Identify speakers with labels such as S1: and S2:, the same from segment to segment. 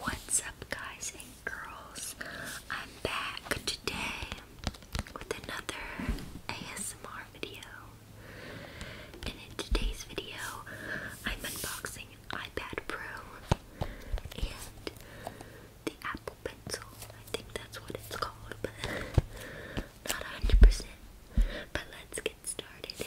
S1: What's up, guys and girls? I'm back today with another ASMR video. And in today's video, I'm unboxing an iPad Pro and the Apple Pencil. I think that's what it's called, but not 100%. But let's get started.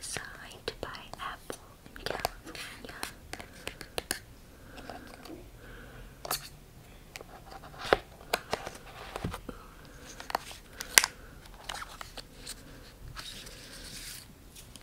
S1: Designed by Apple in California.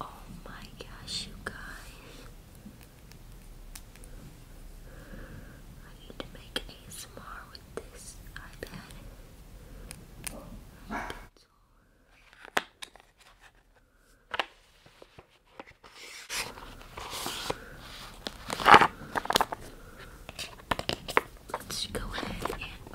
S1: Oh my gosh, you guys. I need to make ASMR with this iPad. Let's go ahead and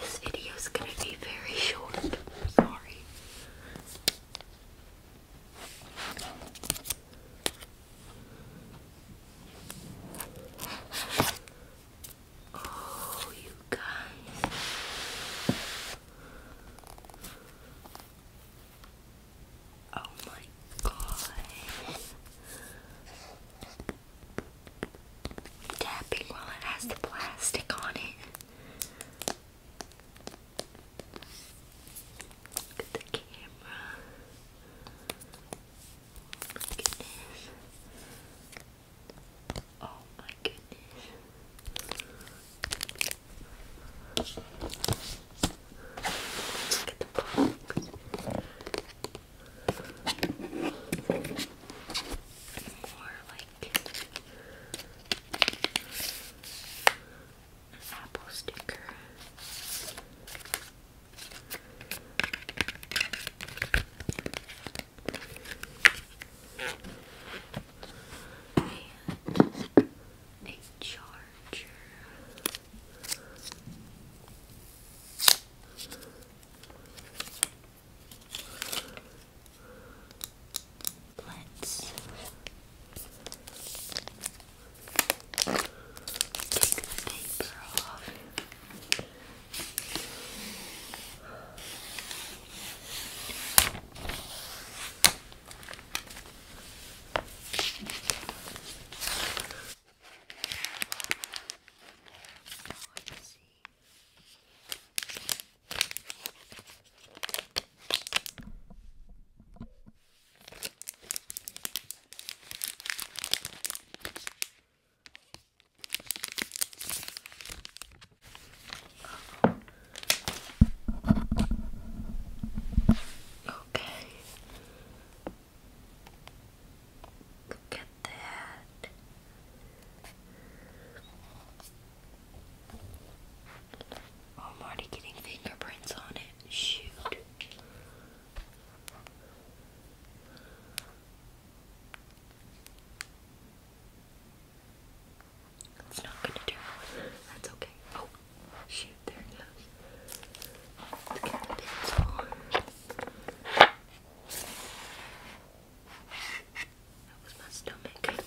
S1: This video is going to be very short. Sorry. Oh, you guys. Oh my god. Tapping while it has the plastic on it. Look at the camera. Oh my goodness. Oh my goodness. Look at the box more like apple sticker. And a jar larger. Let's take the paper off. So let's see. Okay. Look at that. I'm already getting fingerprints on it. Shoot. It's not gonna do. That's okay. Oh, Shoot, there it goes. Let's the pencil. That was my stomach.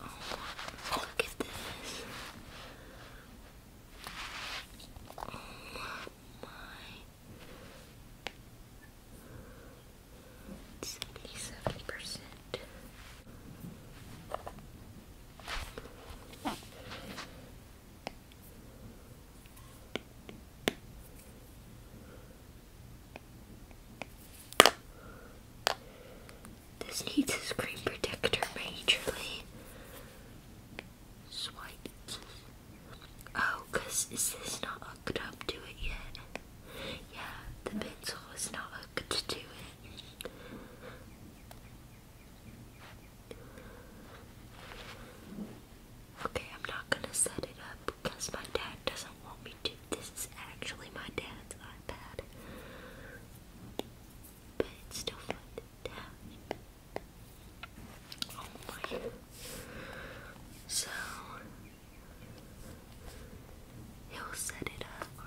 S1: Oh, look at this. Oh my. 77%. This needs a screen protector majorly. Swipe. Oh, cause is this not hooked up to it yet? Yeah, the pencil is not hooked to it. Okay, I'm not gonna set it up because my dad doesn't want me to. This is actually my dad's iPad. But it's still fun Oh my. So, he'll set it up.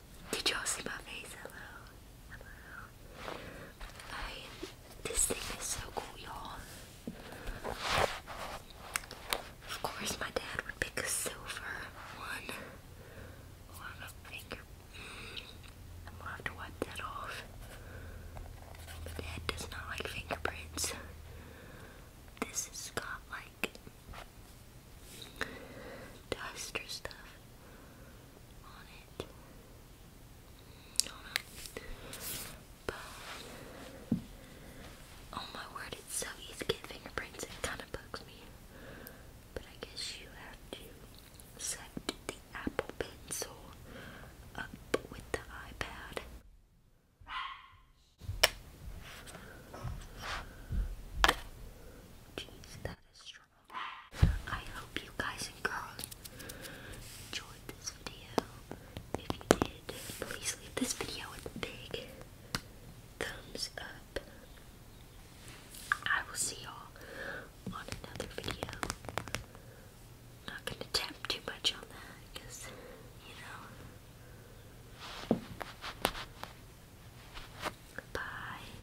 S1: Did you all see my face? Hello. Hello. I, this thing is so cool, y'all. Of course, my dad would pick a silver one. Oh, I'm gonna wipe that off. My dad does not like fingerprints. This has got like dust or stuff on oh my word, it's so easy to get fingerprints. It kind of bugs me. But I guess you have to set the Apple Pencil up with the iPad. Jeez, that is strong. I hope you guys and girls enjoyed this video. If you did, please leave this video a big thumbs up. I will see y'all on another video. not gonna tap too much on that because, you know. Bye.